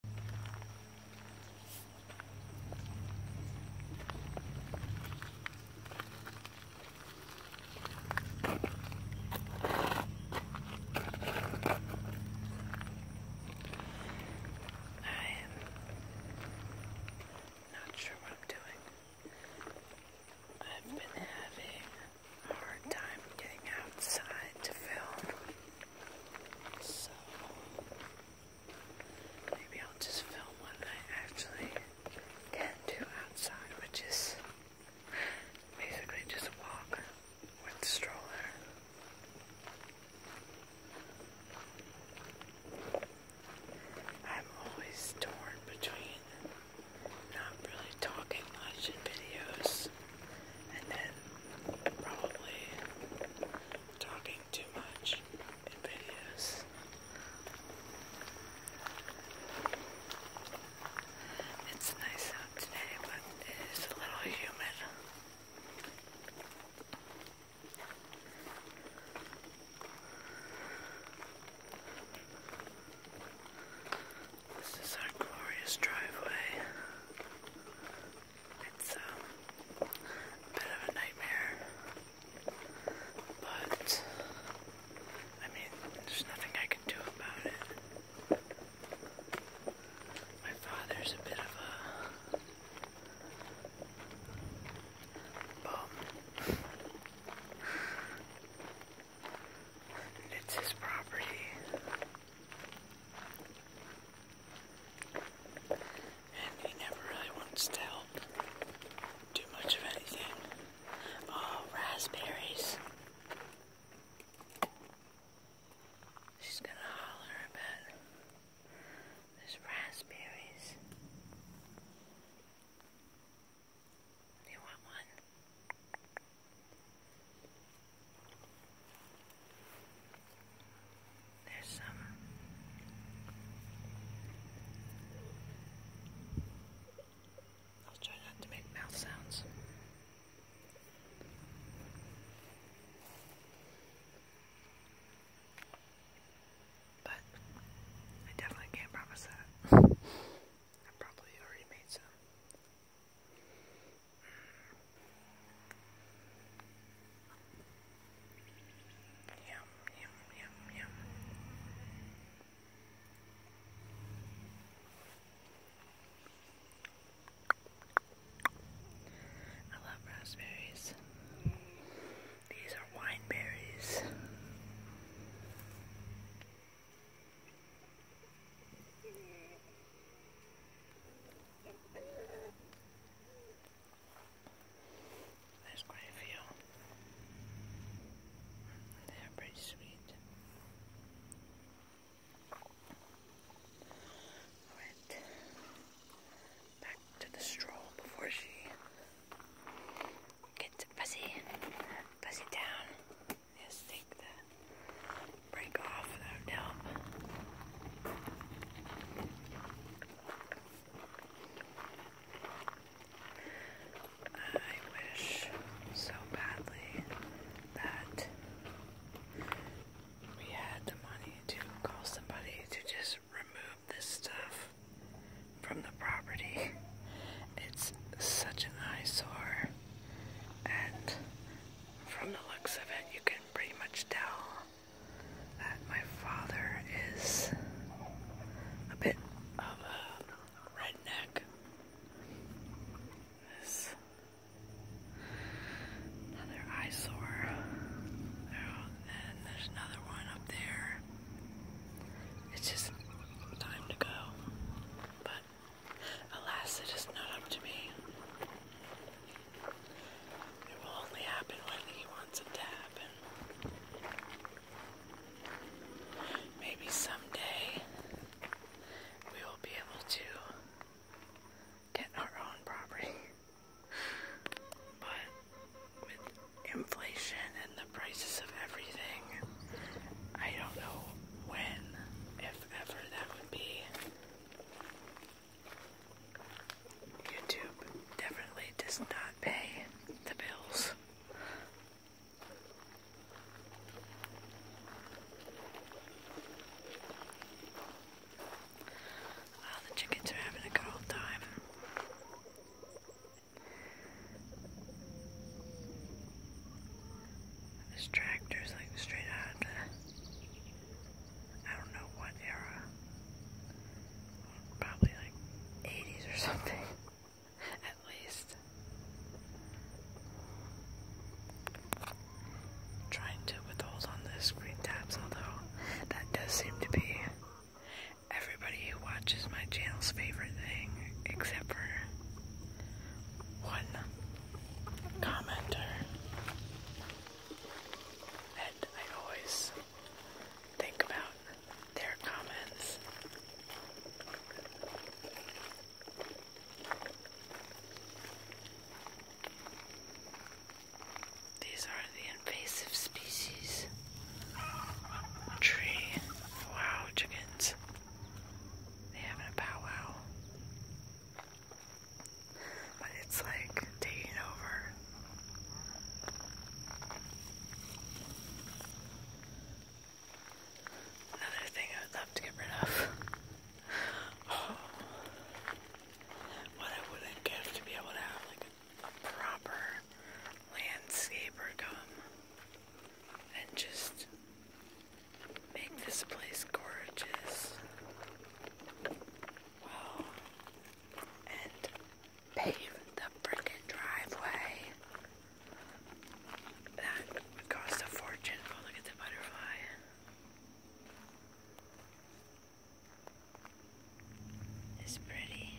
I am not sure what I'm doing. I've been having a hard time getting outside to film. So maybe I'll just film what I actually can do outside, which is basically just walk with stroller. I'm always torn between not really talking much in videos and then probably talking too much in videos. It's nice out today, but it is a little humid. This is our glorious driveway. It's uh, a bit of a nightmare, but I mean, there's nothing I can do about it. My father's a bit of a bum. It's his property. And he never really wants to help do much of anything. Oh, raspberries. She's gonna holler about those raspberries. you want one? There's some I'll try not to make mouth sounds. But I definitely can't promise that. I probably already made some. Yum, yum, yum, yum. I love raspberries. These are wine berries. There's quite a few. They're pretty sweet. Alright. Back to the stroll before she gets fuzzy. Fuzzy down. Just take the break off without help. I wish so badly that we had the money to call somebody to just remove this stuff from the property. It's such an eyesore, and from the looks of it, you can pretty much tell that my father is a bit of a redneck. This another eyesore. And there's another one up there. It's just time to go. But Alas, it is not up to me. It will only happen when he wants it to happen. Maybe someday we will be able to get our own property. But with inflation and the prices of everything, I don't know when, if ever that would be. YouTube definitely does not pay the bills. Oh, the chickens are having a good old time. This tractor is like straight out of the, I don't know what era. Probably like 80s or something, at least. Trying to withhold on the screen taps, although that does seem to be everybody who watches my channel's favorite thing, except for one commenter and I always think about their comments. These are the invasive species. Tree. Wow, chickens. They're a powwow. But it's like taking over. Another thing I would love to get rid of. What I wouldn't give to be able to have like a proper landscaper come and just make this place gorgeous. Wow. And pave the frickin' driveway. That would cost a fortune. Oh, look at the butterfly. It's pretty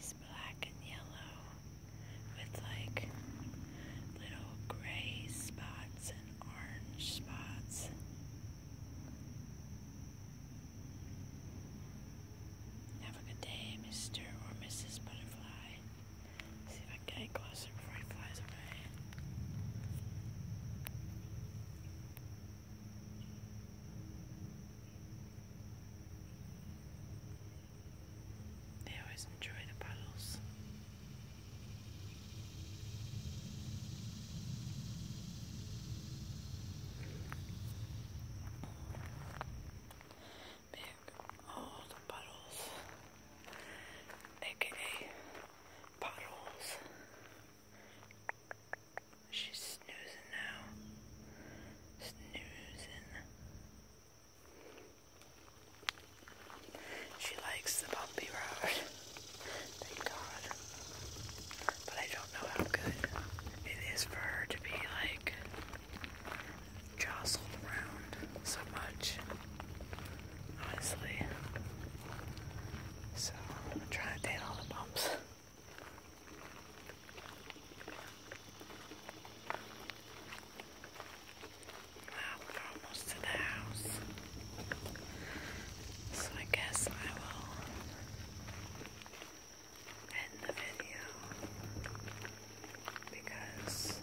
is black and yellow with like little gray spots and orange spots. Have a good day, Mr. or Mrs. Butterfly. See if I get closer before he flies away. They always enjoy the puddles. Big old puddles, aka puddles. She's snoozing now. Snoozing. She likes the bumpy road. Thank God. But I don't know how good it is for her to be like jostled around so much. Honestly. So I'm trying to date all the bumps we're almost to the house. So I guess I will end the video because,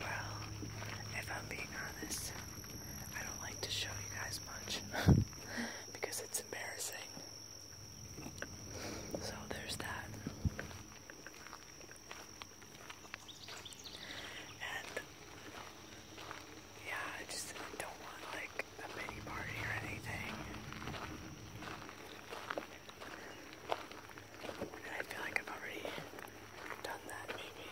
well, if I'm being honest, I don't like to show you guys much because it's embarrassing. So there's that. And yeah, I just don't want like a pity party or anything. I feel like I've already done that maybe.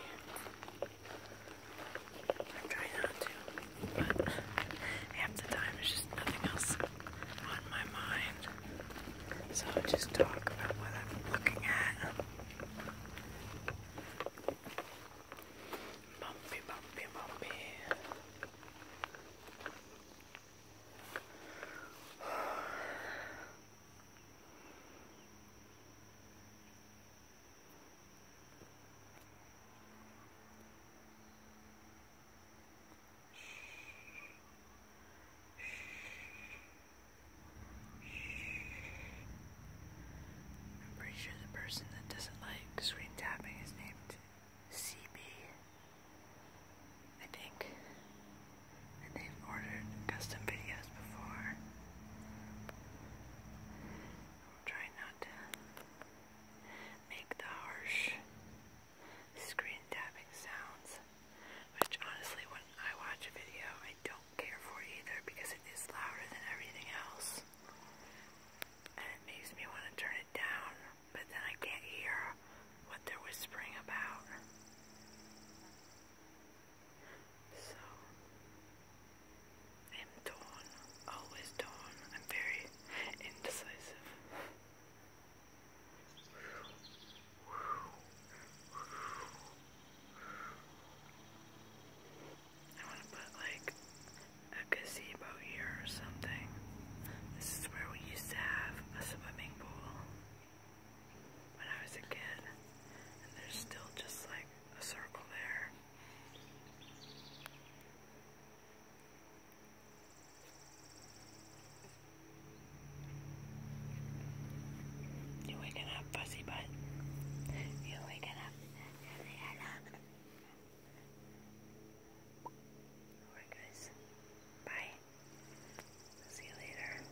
I'm trying not to, but half the time it's just nothing else on my mind. So I just talk about what I'm looking at. Bumpy, bumpy, bumpy. I'm pretty sure the person that doesn't like screen tapping is named CB. I think. And they've ordered custom videos before. I'm trying not to make the harsh screen tapping sounds, which honestly, when I watch a video, I don't care for either because it is louder than everything else. And it makes me want to turn it down, but then I can't hear what they're whispering about. So, am torn, always torn. I'm very indecisive. I want to put like a gazebo here or something. This is where we used to have a swimming pool when I was a kid, and there's still just like a circle there. You're waking up, fuzzy butt. You're waking up. you guys. Bye. See you later.